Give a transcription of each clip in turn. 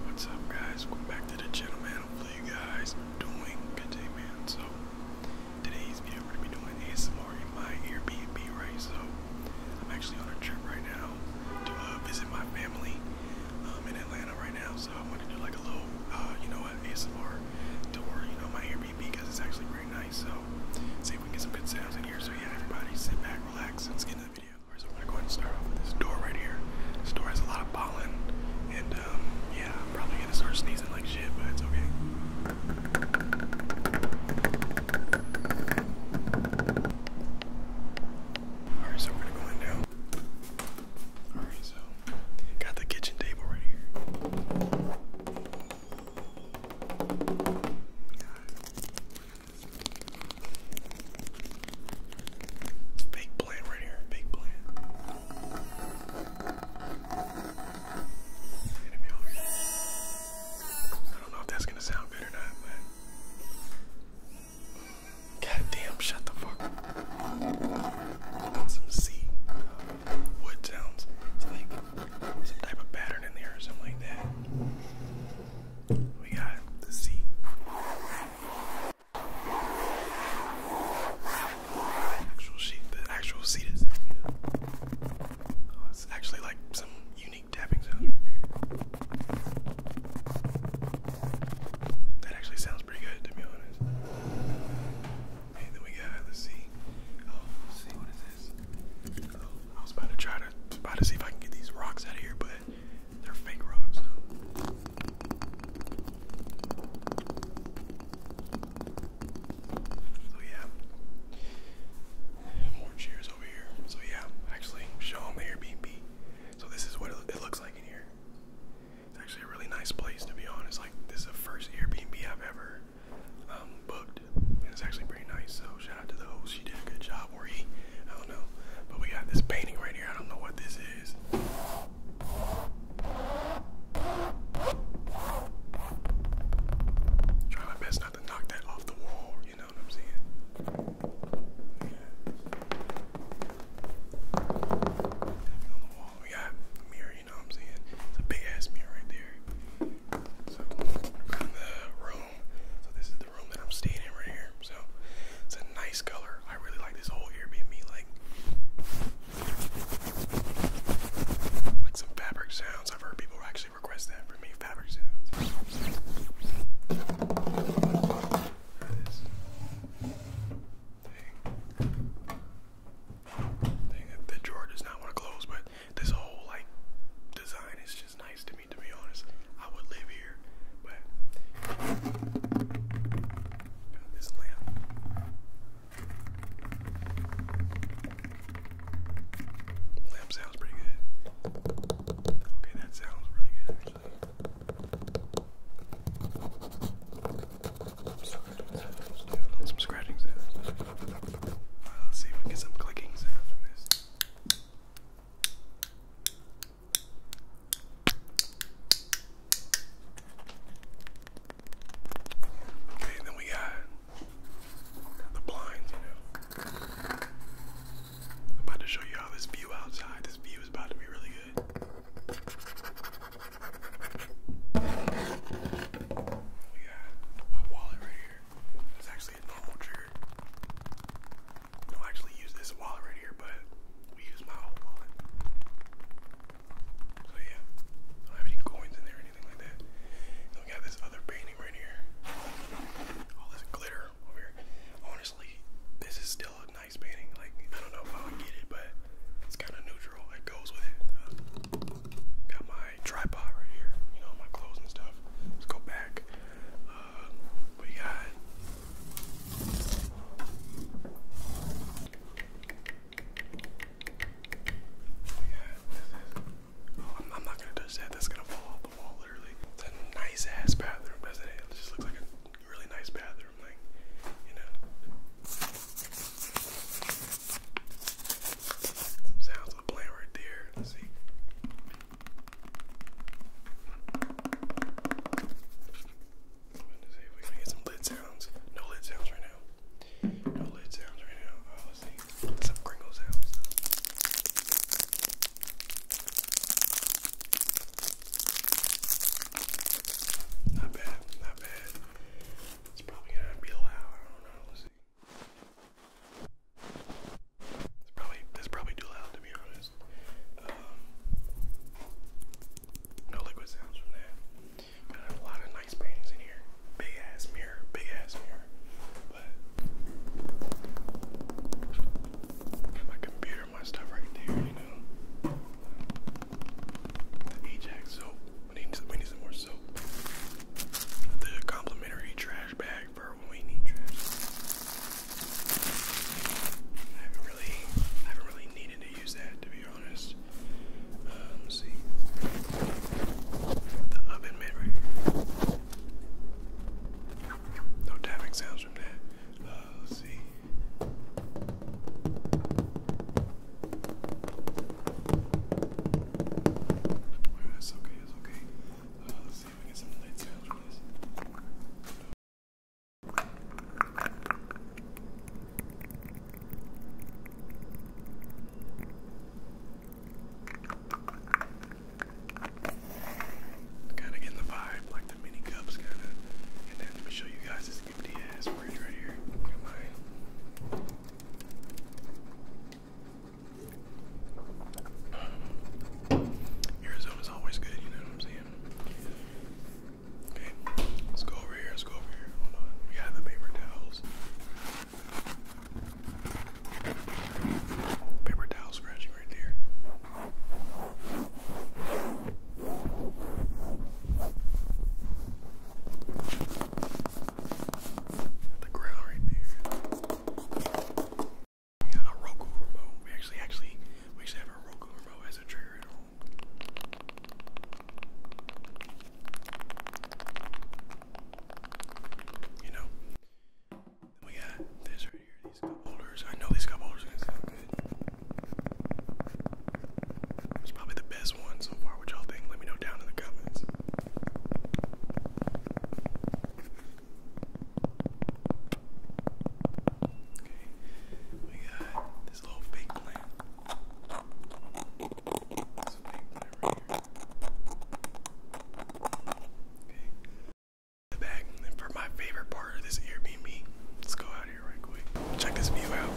What's up guys? Welcome back to the gentleman. Hopefully you guys are doing good today, man. So today's video we're gonna be doing ASMR in my Airbnb, right? So I'm actually on a trip right now to uh, visit my family um, in Atlanta right now. So I want to do like a little, uh, you know, an ASMR tour, you know, my Airbnb because it's actually pretty nice. So see if we can get some good sounds in here. So yeah, everybody sit back, relax, and let's get into the video of course I'm gonna go ahead and start off with this door right here. This door has a lot of pollen, and um, yeah, I'm probably gonna start sneezing like shit, but it's okay. Alright, so we're gonna go in Alright, so got the kitchen table right here. Big plant right here, big plant. I don't know if that's gonna sound good or not, God damn, shut the fuck up. some sea uh, wood sounds. It's like some type of pattern in there or something like that. We got the C. Actual sheet, the actual seat itself, Oh, it's actually like some unique tapping sound here. That actually sounds pretty good to be honest. Okay, then we got oh, let's Oh, see what is this? Oh, I was about to try to about to see if I can get these rocks out of here, but so yeah, more chairs over here. So yeah, actually show them the Airbnb. So this is what it looks like in here. It's actually a really nice place to be honest. Like this is the first Airbnb I've ever um, booked, and it's actually pretty nice. So shout I don't know. what this is. Try my best not to knock that off the wall. You know what I'm saying? Yeah. On the wall. We got a mirror. You know what I'm saying? It's a big ass mirror right there. So around the room. So this is the room that I'm staying in right here. So it's a nice color. I really like this whole Airbnb, like like some fabric sounds. I've heard people actually request that for me. Fabric sounds. Dang. Dang, the drawer does not want to close, but this whole like design is just nice to me to be honest. I would live here, this lamp. Lamp sounds pretty good. Okay, that sounds really good actually. Some scratching let's see if we get some clicking and then we got the blinds, you know. I'm about to show you all this view outside. This view is about to be really good. We got my wallet right here. It's actually an old trigger don't actually use this wallet right here, but we use my old wallet. So yeah, I don't have any coins in there or anything like that. we got this other painting right here. All this glitter over here. Honestly, this is still a nice painting. Like I don't know if I would get it, but it's kind of neutral. It goes with it. Uh, got my tripod right here. You know my clothes and stuff. Let's go back we got oh, I'm, not gonna touch that. That's gonna fall off the wall, literally. It's a nice ass bathroom, doesn't it? It just looks like a really nice bathroom, like you know. sounds of the right there. Let's see to see if we can get some lid sounds. No lid sounds right now. No lid sounds right now. Oh, let's Some Kringle sounds. Not bad, not bad. It's probably going be loud. I don't know. It's probably that's probably too loud to be honest. Um, no liquid sounds from that. But a lot of nice paintings in here. Big ass mirror, big ass mirror. But my computer, my stuff right there, you know. The Ajax soap. We need, we need some more soap. The complimentary trash bag for when we need trips. I haven't really, I haven't really needed to use that to be honest. Uh, let's see. The oven mitt right here. No tapping sounds from that. Uh, let's see. It's oh, okay, it's okay. Uh, let's see if we get Kind of getting the vibe, like the mini cups, kind of. And then let me show you guys this empty ass fridge right here. Look at mine. Arizona is always good, you know what I'm saying? Okay, let's go over here, let's go over here. Hold on, we got the paper towels. Paper towel scratching right there the ground right there. Yeah, a Roku remote. We actually, actually, we actually have a Roku remote as a trigger at home. You know, we got this right here. These cup I know these cup holders are gonna sound good. It's probably the best one so far. What y'all think? Let me know down in the comments. We got this little fake plant. This fake plant right here. Okay. The back. And for my favorite part of this Airbnb, let's go out here right quick. Check this view out.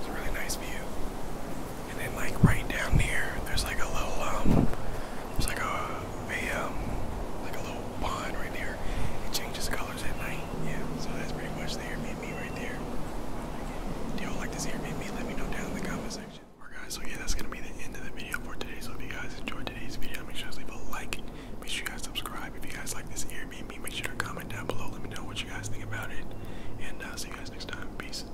It's a really nice view. And then like right down here, there's like a little um, there's like a a um, like a little pond right there. It changes colors at night. Yeah, so that's pretty much the me right there. Do y'all like this me? Let me know down in the comment section. Alright guys, so yeah, that's gonna be the end of the video for today. So if you guys enjoyed today's video, make sure to leave a like. Make sure you guys subscribe. If you guys like this me, make sure to comment down below. Let me know what you guys think about it. And I'll uh, see you guys next time. Peace.